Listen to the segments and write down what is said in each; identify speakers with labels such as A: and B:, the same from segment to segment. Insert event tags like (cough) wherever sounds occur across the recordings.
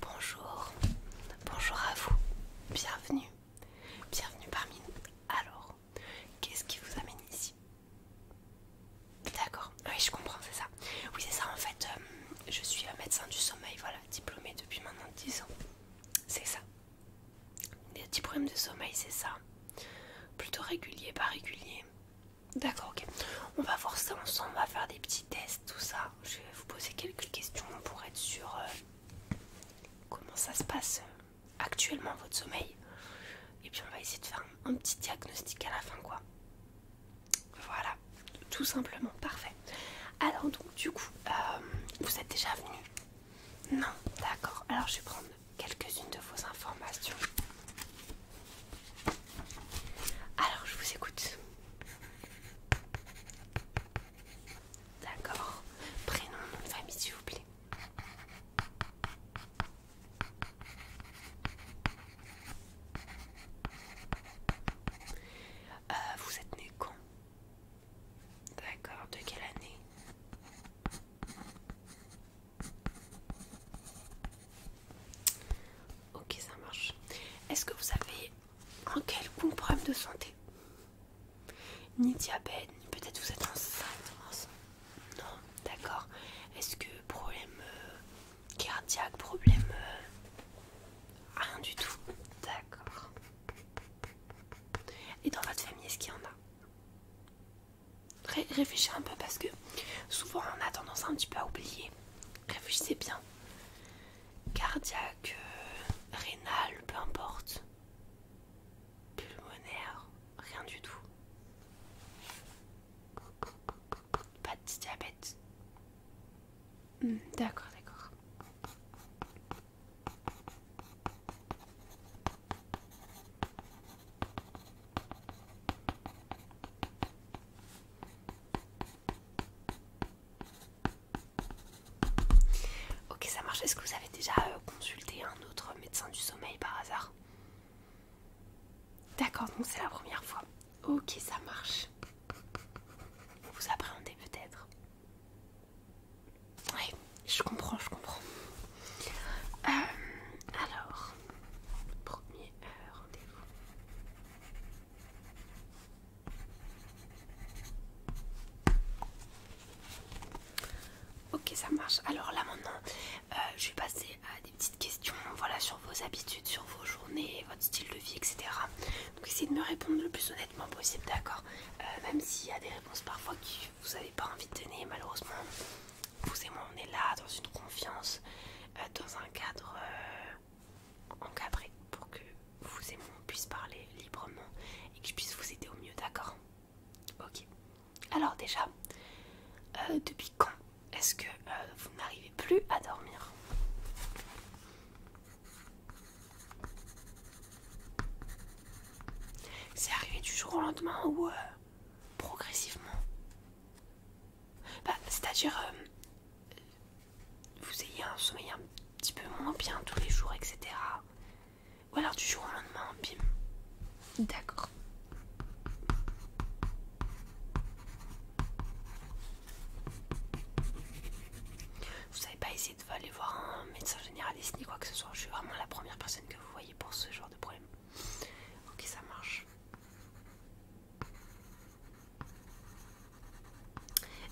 A: Bonjour, bonjour à vous, bienvenue, bienvenue parmi nous. Alors, qu'est-ce qui vous amène ici D'accord, oui je comprends, c'est ça. Oui c'est ça en fait, euh, je suis un euh, médecin du sommeil, voilà, diplômé depuis maintenant 10 ans. C'est ça, des petits problèmes de sommeil, c'est ça Plutôt régulier, pas régulier D'accord, ok. On va voir ça ensemble, on va faire des petits tests, tout ça. Je vais vous poser quelques questions pour être sûr euh, comment ça se passe euh, actuellement votre sommeil. Et puis on va essayer de faire un, petit diagnostic à la fin, quoi. Voilà, tout simplement, parfait. Alors donc du coup, euh, vous êtes déjà venu non, d'accord. Alors je vais prendre quelques-unes de vos informations. Alors je vous écoute. D'accord. Prénom, nom de famille, s'il vous plaît. Euh, vous êtes né quand D'accord, de quelle année Ok, ça marche. Est-ce que vous avez un quelconque problème de santé Ni diabète, peut-être vous êtes enceinte Non, d'accord. Est-ce que problème euh, cardiaque, problème... Euh, rien du tout. D'accord. Et dans votre famille, est-ce qu'il y en a Ré réfléchis un peu parce que souvent on a tendance un petit peu à oublier. Réfléchissez bien. Cardiaque, rénal, peu importe. Pulmonaire, rien du tout. Pas de diabète. Hmm, d'accord, d'accord. Ok, ça marche. Est-ce que vous avez déjà euh, consulté un autre médecin du sommeil par hasard D'accord, donc c'est la première fois. Ok, ça marche. Vous appréhendez peut-être. Je comprends, je comprends. Euh, alors, premier rendez-vous. Ok, ça marche. Alors là maintenant, euh, je vais passer à des petites questions voilà, sur vos habitudes, sur vos journées, votre style de vie, etc. Donc essayez de me répondre le plus honnêtement possible, d'accord euh, Même s'il y a des réponses parfois qui vous n'avez pas envie de tenir malheureusement, vous et moi, on est là dans une confiance, euh, dans un cadre euh, encadré pour que vous et moi, on puisse parler librement et que je puisse vous aider au mieux, d'accord Ok. Alors déjà, euh, depuis quand est-ce que vous n'arrivez plus à dormir C'est arrivé du jour au lendemain ou progressivement. Bah, C'est-à-dire, euh, vous ayez un sommeil un petit peu moins bien tous les jours, etc. Ou alors du jour au lendemain, bim. D'accord. Vous savez pas essayé de aller voir un médecin généraliste ni quoi que ce soit. Je suis vraiment la première personne que vous voyez pour ce genre de problème. Ok, ça marche.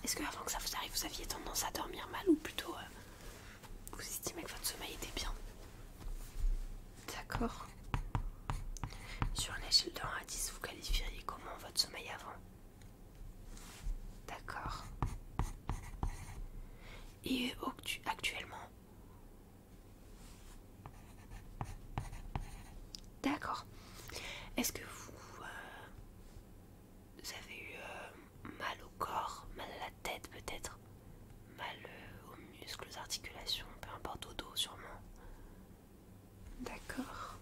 A: Est-ce que avant que ça vous arrive, vous aviez tendance à dormir mal ou plutôt euh, vous estimez que votre sommeil était bien D'accord. Sur une échelle de 1 à 10, vous qualifieriez comment votre sommeil avant D'accord. Et euh, actuellement, D'accord. Est-ce que vous, euh, avez eu euh, mal au corps, mal à la tête peut-être, mal euh, aux muscles, aux articulations, peu importe au dos sûrement D'accord.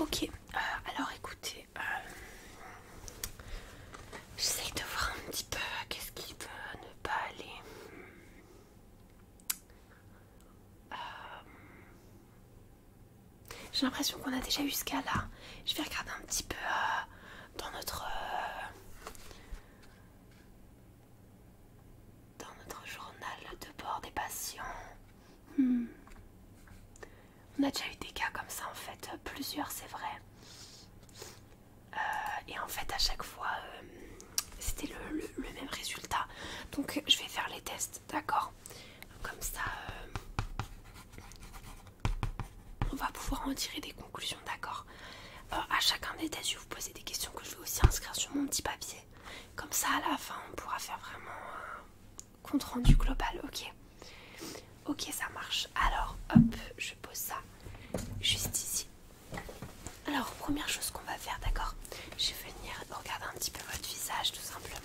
A: Ok, euh, alors écoutez, euh, j'essaye de voir un petit peu qu'est-ce qui peut ne pas aller. Euh, j'ai l'impression qu'on a déjà eu ce cas là. Je vais regarder un petit peu euh, dans notre euh, dans notre journal de bord des patients. Hmm. On a déjà eu des cas comme ça en fait, plusieurs c'est vrai. et en fait à chaque fois c'était le même résultat. Donc je vais faire les tests D'accord. Comme ça, euh, on va pouvoir en tirer des conclusions, d'accord A euh, À chacun des tests, je vais vous poser des questions que je vais aussi inscrire sur mon petit papier. Comme ça, à la fin, on pourra faire vraiment un compte rendu global, ok Ok, ça marche. Alors, hop, je pose ça juste ici. Alors, première chose qu'on va faire, d'accord Je vais venir regarder un petit peu votre visage, tout simplement.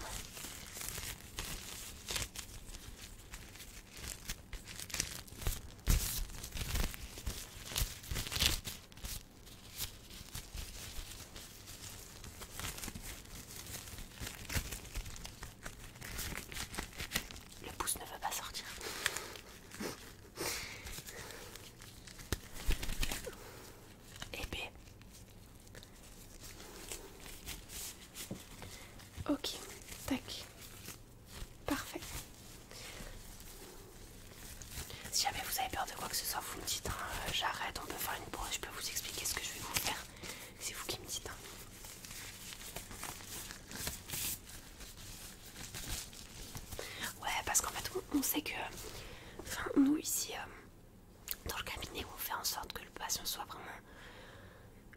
A: Le pouce ne veut pas sortir. (laughs) Ok, tac. Parfait. Si jamais vous avez peur de quoi que ce soit, vous me dites, hein. euh, j'arrête, on peut faire une pause, je peux vous expliquer ce que je vais vous faire. C'est vous qui me dites. Hein. Ouais, parce qu'en fait, on, sait que... Enfin, nous ici, euh, dans le cabinet où on fait en sorte que le patient soit vraiment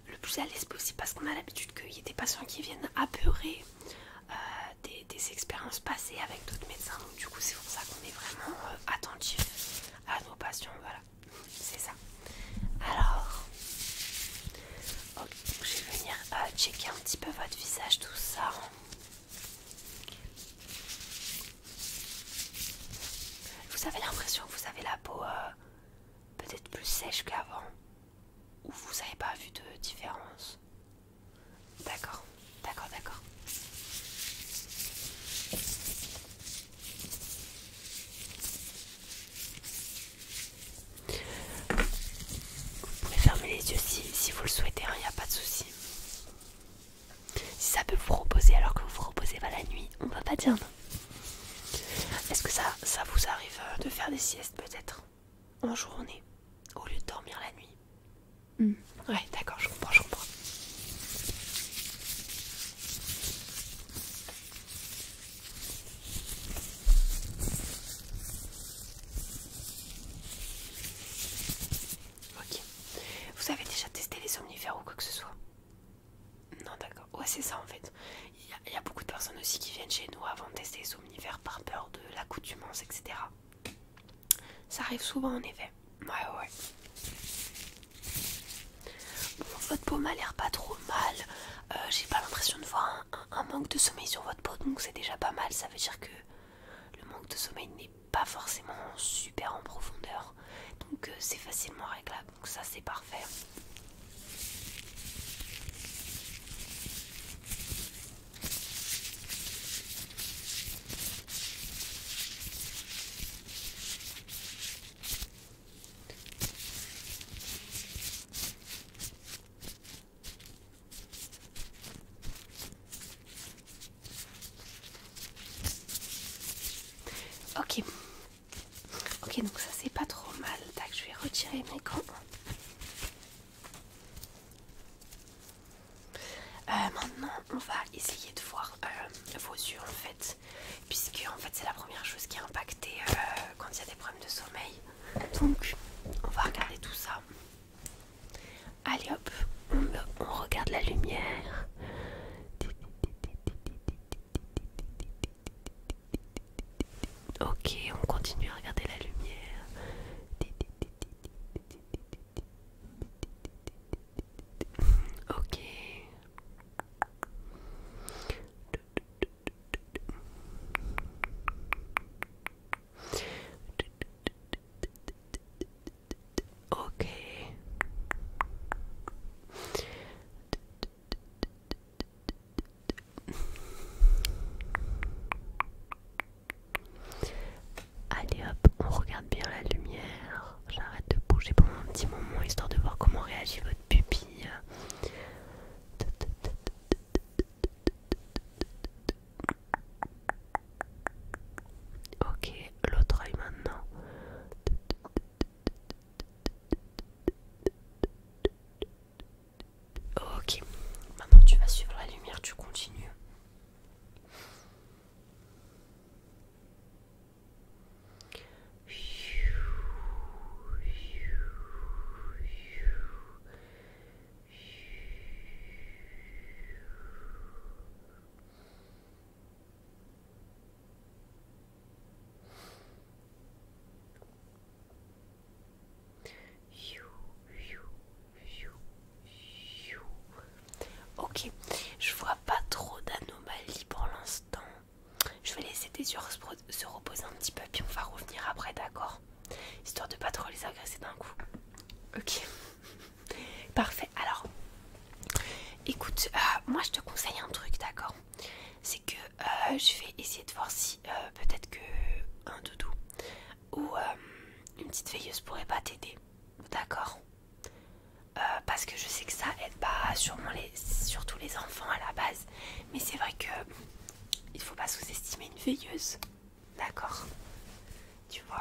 A: le plus à l'aise possible parce qu'on a l'habitude qu'il y ait des patients qui viennent apeurer euh, des, expériences passées avec d'autres médecins donc du coup c'est pour ça qu'on est vraiment euh, attentif à nos patients voilà c'est ça alors je vais venir euh, checker un petit peu votre visage tout ça vous avez l'impression que vous avez la peau euh, peut-être plus sèche qu'avant Ou vous n'avez pas vu de différence D'accord, d'accord, d'accord. Vous pouvez fermer les yeux si, vous le souhaitez, il hein, n'y a pas de souci. Si ça peut vous reposer alors que vous vous reposez pas la nuit, on va pas dire non. Est-ce que ça, ça vous arrive euh, de faire des siestes peut-être en journée au lieu de dormir la nuit hmm. Ouais, d'accord, je comprends, je comprends. Ok. Vous avez déjà testé les somnifères ou quoi que ce soit Non, d'accord. Ouais, c'est ça en fait. Il y, a beaucoup de personnes aussi qui viennent chez nous avant de tester les somnifères par peur de l'accoutumance, etc. Ça arrive souvent en effet. Ouais, ouais, votre peau m'a l'air pas trop mal. Euh, j'ai pas l'impression de voir un, manque de sommeil sur votre peau, donc c'est déjà pas mal. Ça veut dire que le manque de sommeil n'est pas forcément super en profondeur donc euh, c'est facilement réglable donc ça c'est parfait Ok. Ok, donc ça c'est pas trop mal. je vais retirer mes gants. Euh, maintenant, on va essayer de voir euh, vos yeux en fait, puisque en fait c'est la première chose qui est impacté euh, quand il y a des problèmes de sommeil. Donc, on va regarder tout ça. Allez hop, on, regarde la lumière. Ok, on continue à regarder la lumière. Ok. Ok. Allez hop, on regarde bien la lumière. J'arrête de bouger pendant un petit moment histoire de voir comment réagit votre pupille. Ok, l'autre œil maintenant. Ok, maintenant tu vas suivre la lumière, tu continues. Ok, je vois pas trop d'anomalies pour l'instant. Je vais laisser tes yeux se reposer un petit peu, puis on va revenir après, d'accord Histoire de pas trop les agresser d'un coup. Ok, (laughs) parfait. Alors, Écoute, euh, moi je te conseille un truc, d'accord C'est que euh, je vais essayer de voir si euh, peut-être que un doudou ou une petite veilleuse pourrait pas t'aider, d'accord Parce que je sais que ça aide pas sûrement les, surtout les enfants à la base, mais c'est vrai que il faut pas sous-estimer une veilleuse, d'accord Tu vois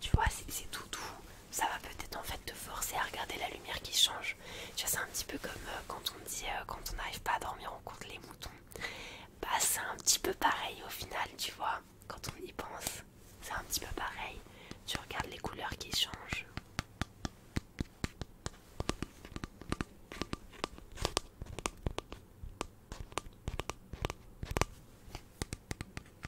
A: Tu vois, c'est tout doux. Ça va peut-être en fait te forcer à regarder la lumière qui change. Tu vois, c'est un petit peu comme euh, quand on dit euh, quand on n'arrive pas à dormir, on compte les moutons. Bah, c'est un petit peu pareil au final, tu vois, quand on y pense. C'est un petit peu pareil. Tu regardes les couleurs qui changent.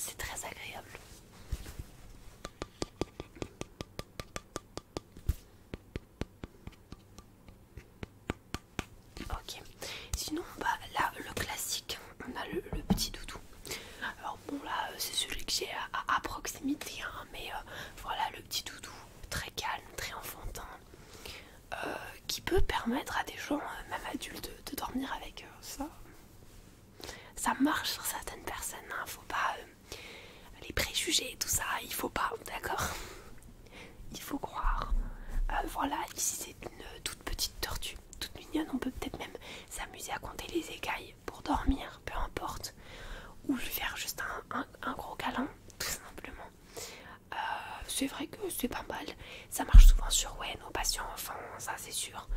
A: c'est très agréable. Ok, sinon, bah là, le classique, on a le, petit doudou alors bon là euh, c'est celui que j'ai à, proximité hein, mais euh, voilà le petit doudou très calme, très enfantin euh, qui peut permettre à des gens, même adultes, de, dormir avec ça. Ça marche sur certaines personnes, il hein, faut pas les préjuger, tout ça, il faut pas, d'accord Il faut croire. voilà, ici c'est une toute petite tortue toute mignonne, on peut peut-être même s'amuser à compter les écailles pour dormir, peu importe, ou faire juste un, gros câlin, tout simplement. Euh, c'est vrai que c'est pas mal, ça marche souvent sur ouais, nos patients, enfin, ça c'est sûr.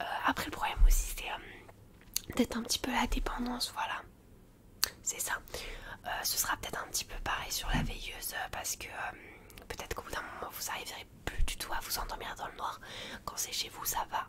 A: Euh, après, le problème aussi, c'est euh, d'être un petit peu la dépendance, voilà, c'est ça. ce sera peut-être un petit peu pareil sur la veilleuse parce que peut-être qu'au bout d'un moment vous arriverez plus du tout à vous endormir dans le noir. Quand c'est chez vous, ça va,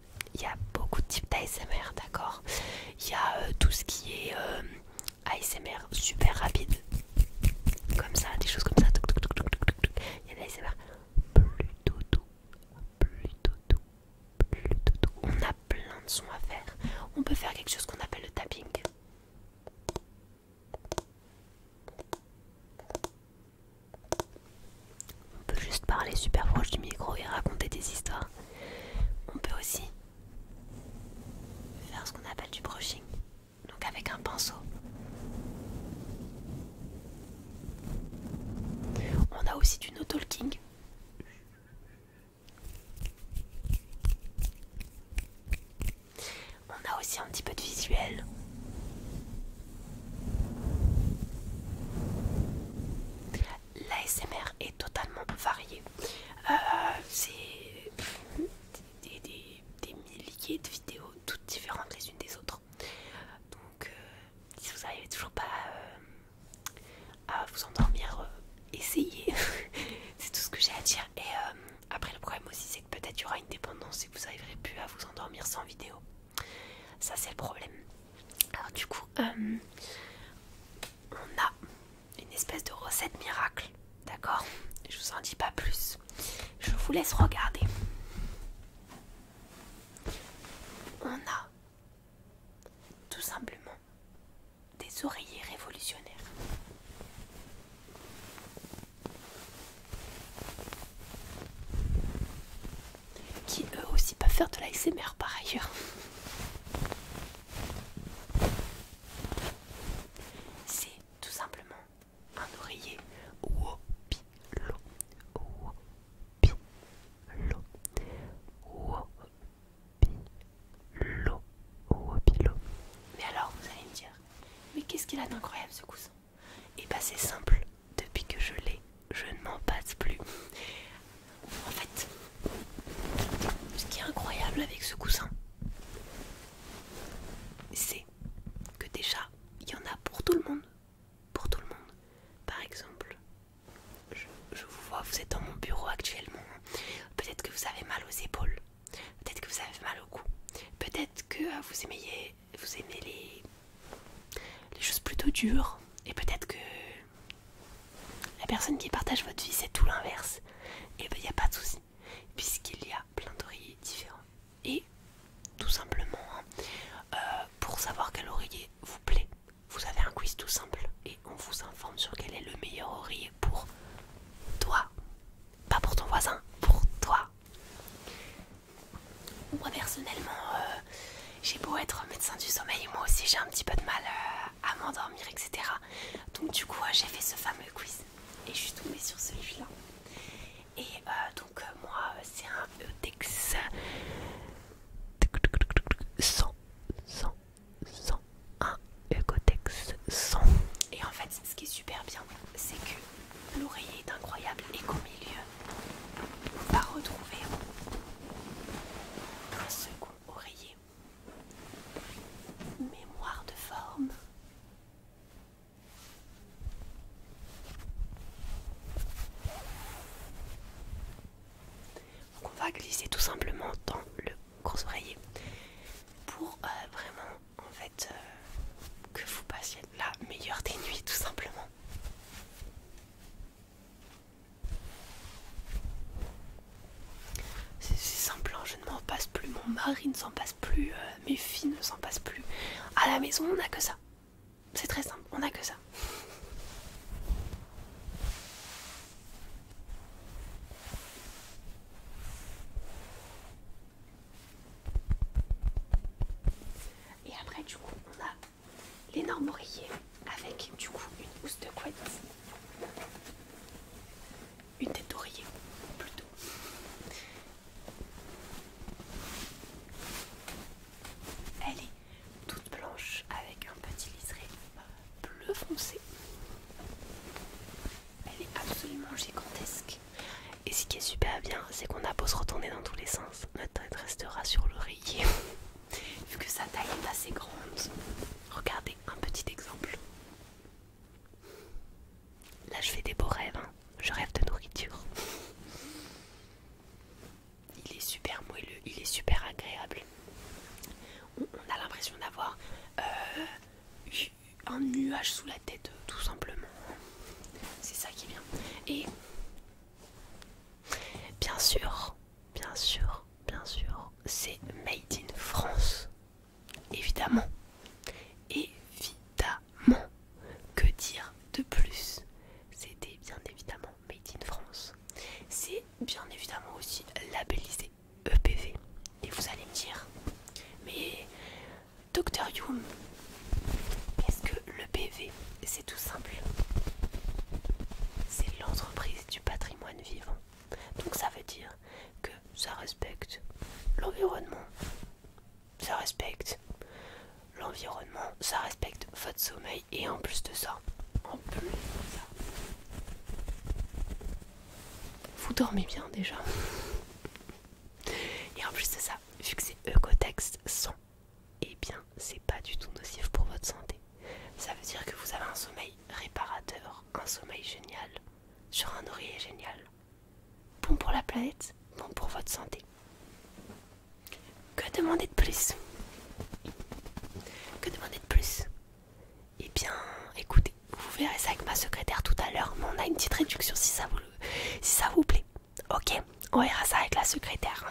A: il y a beaucoup de types d'ASMR, d'accord Il y a euh, tout ce qui est euh, ASMR super rapide, comme ça, des choses comme ça. Il y a l'ASMR plutôt doux, plutôt doux, plutôt doux. On a plein de sons à faire. On peut faire quelque chose qu'on appelle le tapping. On peut juste parler super proche du micro et raconter des histoires. On peut aussi faire ce qu'on appelle du brushing, donc avec un pinceau. On a aussi du no-talking. On a aussi un petit peu de visuel. L'ASMR est totalement varié. Euh, c'est des, milliers de vidéos, toutes différentes les unes des autres. Donc, euh, si vous n'arrivez toujours pas euh, à, vous endormir, essayez. (laughs) C'est tout ce que j'ai à dire. Et après, le problème aussi, c'est que peut-être il y aura une dépendance et vous n'arriverez plus à vous endormir sans vidéo. Ça c'est le problème. Alors du coup, euh, on a une espèce de recette miracle, d'accord Je vous en dis pas plus. Je vous laisse regarder. On a tout simplement des oreillers révolutionnaires qui eux aussi peuvent faire de la l'ASMR par ailleurs. C'est tout simplement un oreiller Mais alors, vous allez me dire, mais qu'est-ce qu'il a d'incroyable ce coussin Et eh bah, ben, c'est simple depuis que je l'ai, je ne m'en passe plus. En fait, ce qui est incroyable avec ce coussin, c'est que déjà, il y en a pour tout le monde. Pour tout le monde. Par exemple, je, vous vois, vous êtes dans mon bureau actuellement. Peut-être que vous avez mal aux épaules. Peut-être que vous avez mal au cou. Peut-être que vous euh, aimez, vous aimez les, les choses plutôt dures et peut-être que la personne qui partage votre vie c'est tout l'inverse et eh bah ben, il n'y a pas de souci puisqu'il y a plein d'oreillers différents et tout simplement hein, euh, pour savoir quel oreiller vous plaît vous avez un quiz tout simple et on vous informe sur quel est le meilleur oreiller pour toi pas pour ton voisin pour toi moi personnellement euh, j'ai beau être médecin du sommeil, moi aussi j'ai un petit peu de mal euh, à m'endormir, etc. Donc du coup euh, j'ai fait ce fameux quiz et je suis tombée sur celui-là. Et euh, donc moi c'est un Ecotex 100, 100, 100, un ECOTEX 100. Et en fait ce qui est super bien c'est que l'oreiller est incroyable et qu'au milieu on va retrouver un second oreiller. Mémoire de forme. Donc on va glisser tout simplement dans le gros oreiller pour euh, vraiment en fait euh, que vous passiez la meilleure des nuits tout simplement. C'est simple, hein. je ne m'en passe plus, mon mari ne s'en passe plus, euh, mes filles ne s'en passent plus. À la maison, on n'a que ça. C'est très simple, on n'a que ça. Et après, du coup, on a l'énorme oreiller avec du coup une housse de couette, une tête d'oreiller plutôt. Elle est toute blanche avec un petit liseré bleu foncé. Elle est absolument gigantesque. Et ce qui est super bien, c'est qu'on a beau se retourner dans tous les sens, notre tête restera sur l'oreiller. (laughs) Vu que sa taille est assez grande, regardez un petit exemple. Là, je fais des beaux rêves. Hein. Je rêve de nourriture. Il est super moelleux, il est super agréable. On, a l'impression d'avoir euh, un nuage sous la tête, tout simplement. C'est ça qui vient. Et bien sûr, bien sûr, bien sûr, c'est Made in France. Évidemment. Évidemment. Que dire de plus C'était bien évidemment Made in France. C'est bien évidemment aussi labellisé EPV. Et vous allez me dire, mais Docteur Youm, quest ce que l'EPV c'est tout simple. C'est l'entreprise du patrimoine vivant. Donc ça veut dire que ça respecte l'environnement. Ça respecte l'environnement. Ça respecte votre sommeil. Et en plus de ça, en plus de ça, vous dormez bien déjà. Et en plus de ça, vu que c'est Ecotex 100 eh bien c'est pas du tout nocif pour votre santé. Ça veut dire que vous avez un sommeil réparateur, un sommeil génial, sur un oreiller génial. Bon pour la planète, bon pour votre santé. Que demander de plus Que demander de plus Eh bien, écoutez, vous verrez ça avec ma secrétaire tout à l'heure, mais on a une petite réduction si ça vous, si ça vous plaît. Ok, on verra ça avec la secrétaire.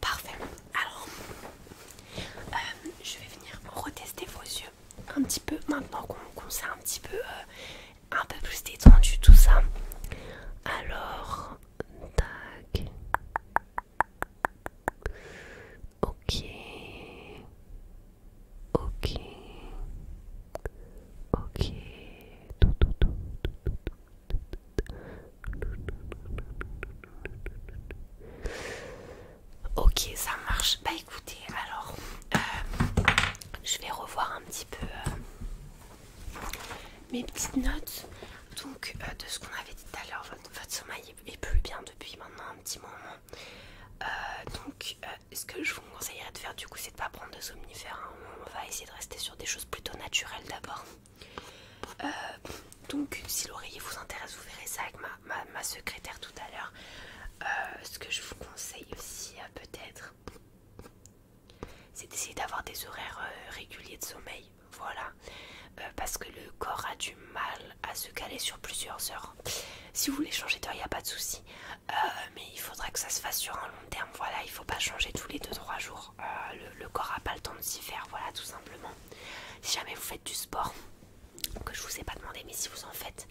A: Parfait. Alors, euh, je vais venir retester vos yeux un petit peu maintenant qu'on s'est un petit peu, euh, un peu plus détendu tout ça. Alors, tac. Ok. Ok. Ok. Ok, ça marche. Bah écoutez, alors, euh, je vais revoir un petit peu euh, mes petites notes. Donc, euh, de ce qu'on avait dit tout à l'heure, votre sommeil est plus bien depuis maintenant un petit moment. Euh, donc, euh, ce que je vous conseillerais de faire du coup, c'est de pas prendre de somnifères. Hein. On va essayer de rester sur des choses plutôt naturelles d'abord. Euh, donc, si l'oreiller vous intéresse, vous verrez ça avec ma, secrétaire tout à l'heure. ce que je vous conseille aussi, peut-être, c'est d'essayer d'avoir des horaires réguliers de sommeil. Voilà, parce que le corps a du mal à se caler sur plusieurs heures. Si vous voulez changer d'heure, il n'y a pas de souci. Euh, mais il faudra que ça se fasse sur un long terme. Voilà, il ne faut pas changer tous les 2-3 jours. Euh, le, corps n'a pas le temps de s'y faire. Voilà, tout simplement. Si jamais vous faites du sport, que je ne vous ai pas demandé, mais si vous en faites,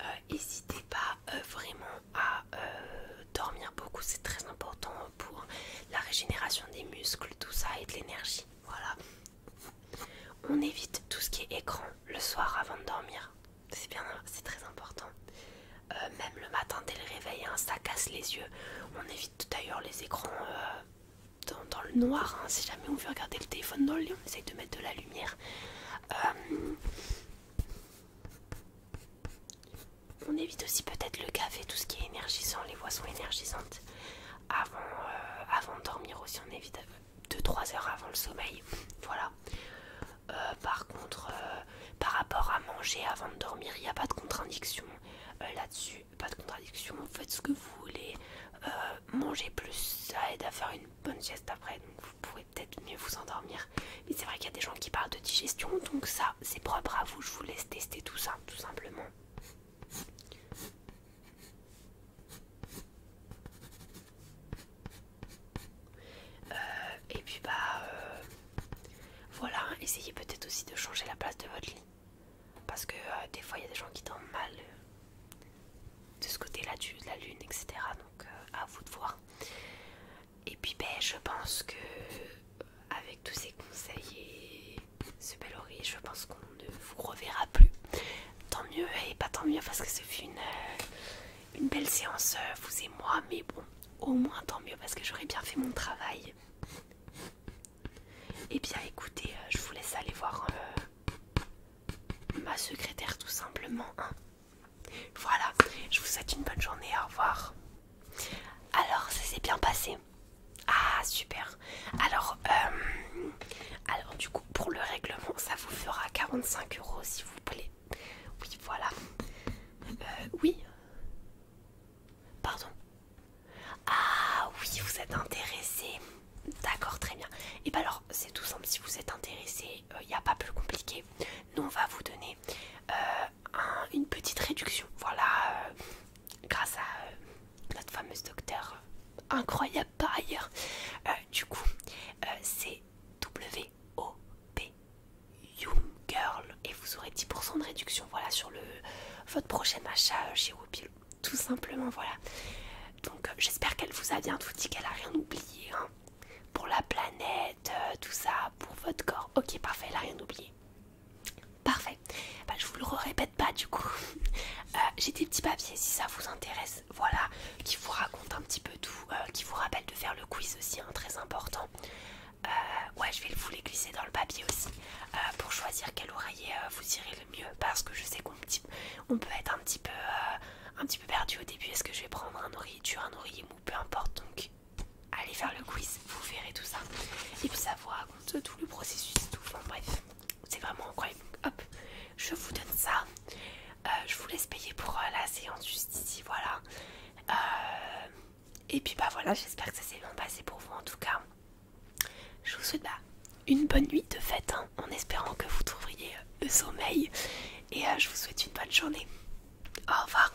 A: euh, n'hésitez pas vraiment à dormir beaucoup. C'est très important pour la régénération des muscles, tout ça, et de l'énergie. Voilà, on évite tout ce qui est écran le soir avant de dormir. C'est bien, c'est très important. Euh, même le matin dès le réveil, hein, ça casse les yeux. On évite tout d'ailleurs les écrans euh, dans, le noir. Hein. si jamais on veut regarder le téléphone dans le lit, on essaye de mettre de la lumière. Euh, on évite aussi peut-être le café, tout ce qui est énergisant, les boissons énergisantes. Avant, avant de dormir aussi, on évite 2-3 heures avant le sommeil. Voilà. Euh, par contre, euh, par rapport à manger avant de dormir, il n'y a pas de contradiction euh, là-dessus. Pas de contradiction, faites ce que vous voulez. manger plus, ça aide à faire une bonne sieste après, donc vous pourrez peut-être mieux vous endormir. Mais c'est vrai qu'il y a des gens qui parlent de digestion, donc ça, c'est propre à vous. Je vous laisse tester tout ça, tout simplement. Euh, et puis bah euh, voilà, essayez peut-être aussi de changer la place de votre lit. Parce que euh, des fois il y a des gens qui dorment mal de ce côté-là de la lune, etc. Donc à vous de voir. Et puis ben je pense que avec tous ces conseils et ce bel oreille, je pense qu'on ne vous reverra plus. Tant mieux et pas tant mieux parce que ce fut une, euh, une belle séance, euh, vous et moi, mais bon, au moins tant mieux parce que j'aurais bien fait mon travail. Et eh bien écoutez, euh, je vous laisse aller voir ma secrétaire tout simplement. Hein. Voilà, je vous souhaite une bonne journée, au revoir. Alors, ça s'est bien passé. Ah, super. Alors, euh, alors, du coup, pour le règlement, ça vous fera 45 euros, s'il vous plaît. Oui, voilà. Euh, oui. Pardon. Ah oui, vous êtes intéressé. D'accord, très bien. Et eh bien alors, c'est tout simple. Si vous êtes intéressé, il euh, n'y a pas plus compliqué. Nous, on va vous donner une petite réduction. Voilà, grâce à notre fameuse docteur incroyable par ailleurs du coup, euh, c'est WOP Young Girl et vous aurez 10% de réduction voilà, sur le, votre prochain achat euh, chez tout simplement. voilà. Donc, euh, j'espère qu'elle vous a bien tout dit, qu'elle a rien oublié hein. pour la planète, tout ça, pour votre corps. Ok, parfait, elle a rien oublié. Parfait, Je bah, je vous le répète pas du coup. (laughs) J'ai des petits papiers si ça vous intéresse voilà, qui vous raconte un petit peu tout, euh, qui vous rappelle de faire le quiz aussi, hein, très important. Euh, ouais, je vais vous les glisser dans le papier aussi euh, pour choisir quel oreiller vous irez le mieux, parce que je sais qu'on peut être un petit peu, un petit peu perdu au début. Est-ce que je vais prendre un oreiller dur, un oreiller mou, peu importe. Donc, allez faire le quiz, vous verrez tout ça. Et puis ça vous raconte tout le processus, tout. Enfin bref c'est vraiment incroyable. hop, je vous donne ça. Euh, je vous laisse payer pour euh, la séance juste ici, voilà. Euh, et puis bah voilà, j'espère que ça s'est bien passé pour vous en tout cas. Je vous souhaite bah, une bonne nuit de fête hein, en espérant que vous trouverez le sommeil. Et je vous souhaite une bonne journée. Au revoir.